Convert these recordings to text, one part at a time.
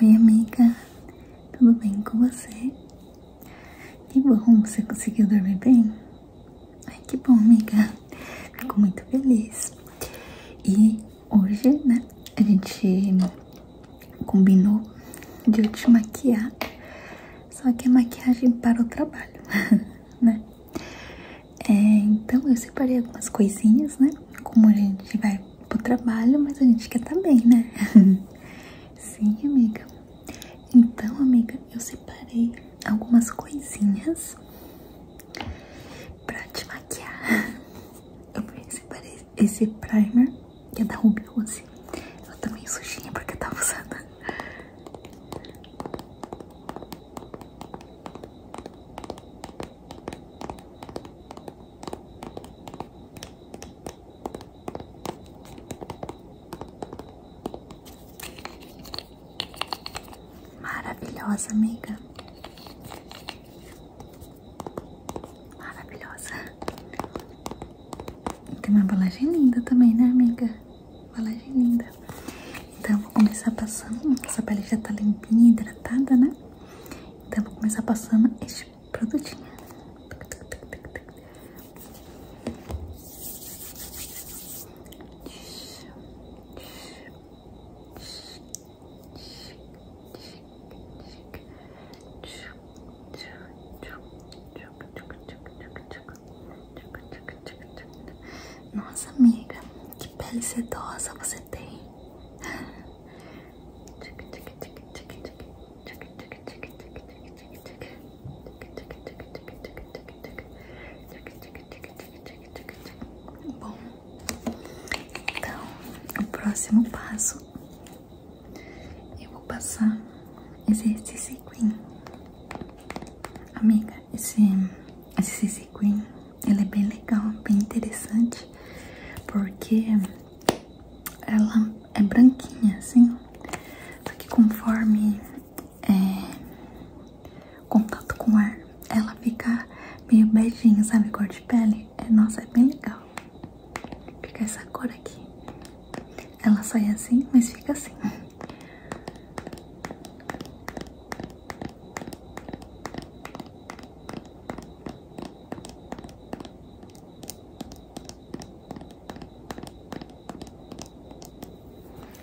Oi, amiga, tudo bem com você? Que bom, você conseguiu dormir bem? Ai, que bom, amiga, fico muito feliz. E hoje, né, a gente combinou de eu te maquiar, só que é maquiagem para o trabalho, né? É, então, eu separei algumas coisinhas, né? Como a gente vai pro trabalho, mas a gente quer estar tá bem, né? Sim, amiga. Então, amiga, eu separei algumas coisinhas pra te maquiar. Eu separei esse primer, que é da Ruby Rose. Ela tá meio sujinha porque eu tava tá usando. Maravilhosa, amiga. Maravilhosa. Tem uma embalagem linda também, né, amiga? Embalagem linda. Então, vou começar passando. Essa pele já tá limpinha, e hidratada, né? Então vou começar passando este produtinho. Nossa amiga, que pele sedosa você tem. Bom, então o próximo passo eu vou passar esse, esse cream, amiga, esse esse cream ela é bem legal, bem interessante, porque ela é branquinha, assim, só que conforme é, contato com o ar, ela fica meio beijinho, sabe, cor de pele. É, nossa, é bem legal. Fica essa cor aqui. Ela sai assim, mas fica assim.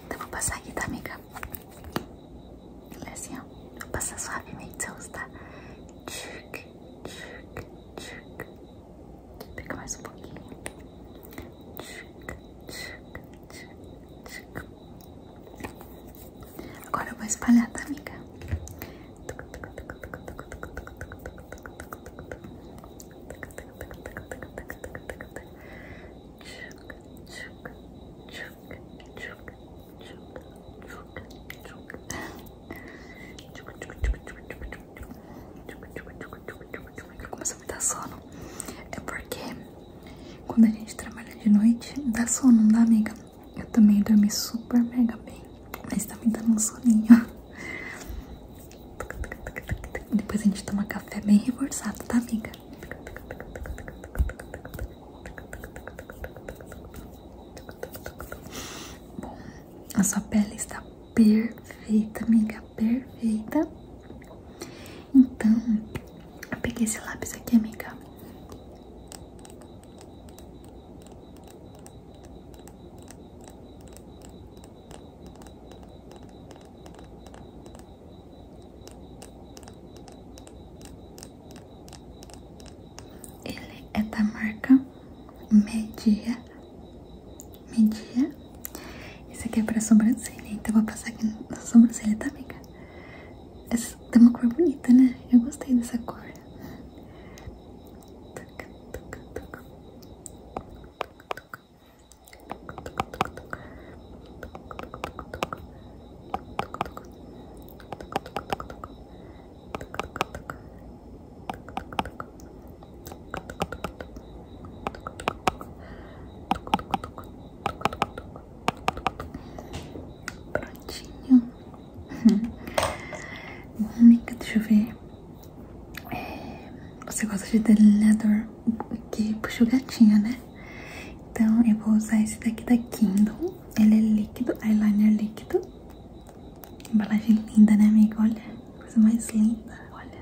Então vou passar aqui, tá, amiga? É assim, ó. Vou passar suavemente, você tá? Tchuc, tchuc, tchuc. Pega mais um pouquinho. Tchuc, tchuc, tchuc, tchuc. Agora vou espalhar, tá, amiga? Começou a me dar sono. É porque quando a gente trabalha de noite, dá sono, não dá, amiga? Eu também dormi super mega bem, mas tá me dando um soninho. Depois a gente toma café bem reforçado, tá, amiga? Bom, a sua pele está perfeita, amiga, perfeita. Então, eu peguei esse lápis aqui, amiga. Ele é da marca Media. Media. Esse aqui é pra sobrancelha, então eu vou passar aqui na sobrancelha, tá, amiga? Essa tem uma cor bonita, né? Eu gostei dessa cor. Tuc, Prontinho. Mônica, deixa eu ver. É, você gosta de delineador que puxa o gatinho, né? Então eu vou usar esse daqui da Kindle. Ele é líquido, eyeliner líquido. Embalagem linda, né, amiga? Olha, coisa mais linda, olha.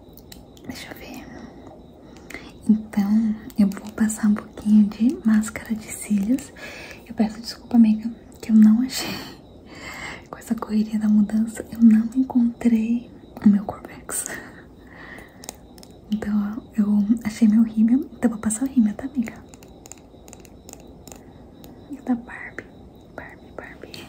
Deixa eu ver. Então, eu vou passar um pouquinho de máscara de cílios. Eu peço desculpa, amiga, que eu não achei. Com essa correria da mudança, eu não encontrei o meu Corvex. Então, eu achei meu rímel. Então, eu vou passar o rímel, tá, amiga? E da Barbie. Barbie, Barbie.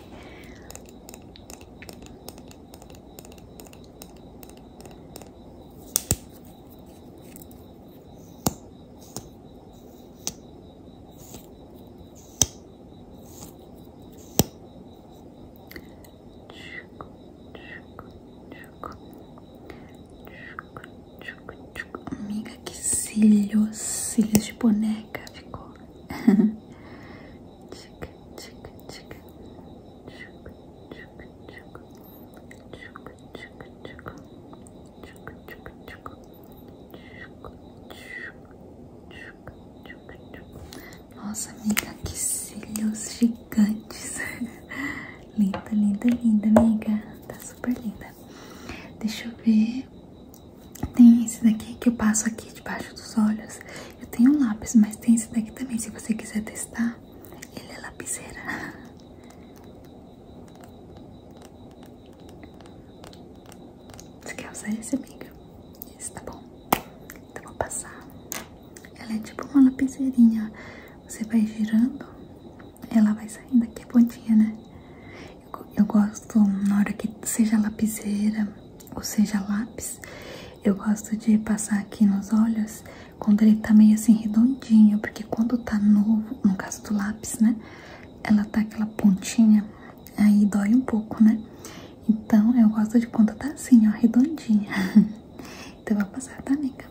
Amiga, que cílios, cílios de boneca ficou. Nossa amiga, que cílios gigantes. linda, linda, linda, amiga. Tá super linda. Deixa eu ver. Tem esse daqui que eu passo aqui debaixo dos olhos. Eu tenho um lápis, mas tem esse daqui também. Se você quiser testar, ele é lapiseira. Você quer usar esse, amiga? Esse, tá bom. Então vou passar. Ela é tipo uma lapiseirinha. Você vai girando, ela vai saindo aqui a pontinha, né? eu gosto na hora que seja lapiseira ou seja, lápis, eu gosto de passar aqui nos olhos quando ele tá meio assim redondinho, porque quando tá novo, no caso do lápis, né, ela tá aquela pontinha, aí dói um pouco, né? Então, eu gosto de quando tá assim, ó, redondinha. então, vou passar, tá, amiga?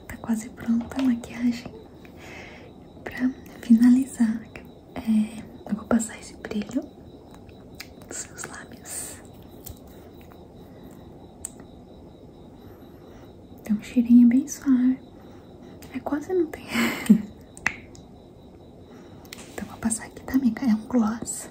tá quase pronta a maquiagem pra finalizar. É, eu vou passar esse brilho nos seus lábios. Tem um cheirinho bem suave. É quase não tem. então vou passar aqui também, é um gloss.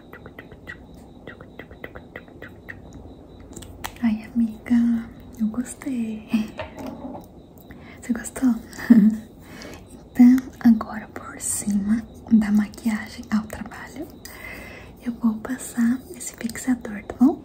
Ai, amiga, eu gostei. Você gostou? então, agora por cima da maquiagem ao trabalho, eu vou passar esse fixador, tá bom?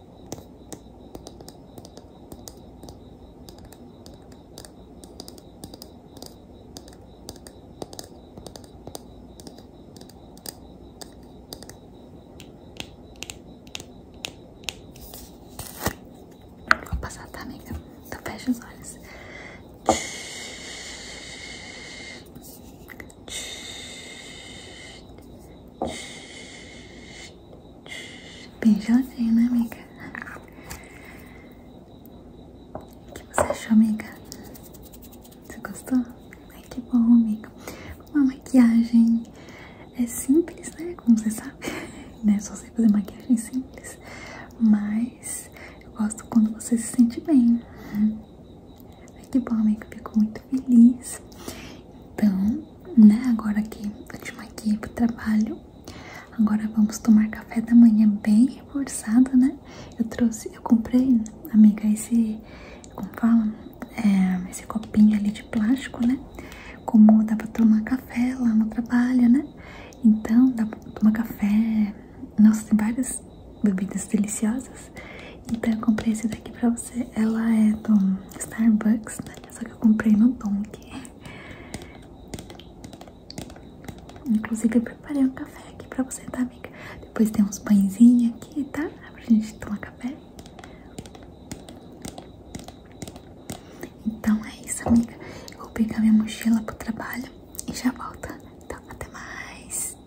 Vou passar, tá, amiga? Então fecha os olhos. Bem né, amiga? O que você achou, amiga? Você gostou? Ai, que bom, amiga. Uma maquiagem é simples, né? Como você sabe, né? Só sei fazer maquiagem simples, mas eu gosto quando você se sente bem. Ai, que bom, amiga, fico muito feliz. Então, né, agora que eu te para o trabalho, agora vamos tomar café da manhã bem reforçado, né? Eu trouxe, eu comprei, amiga, esse, como fala, é, esse copinho ali de plástico, né? Como dá para tomar café lá no trabalho, né? Então, dá pra tomar café. Nossa, tem várias bebidas deliciosas. Então eu comprei esse daqui pra você. Ela é do Starbucks, né? Só que eu comprei no Dunk. Inclusive eu preparei um café aqui pra você, tá, amiga? Depois tem uns pãezinhos aqui, tá? Pra gente tomar café. Então é isso, amiga. vou pegar minha mochila pro trabalho e já volto. Então, até mais.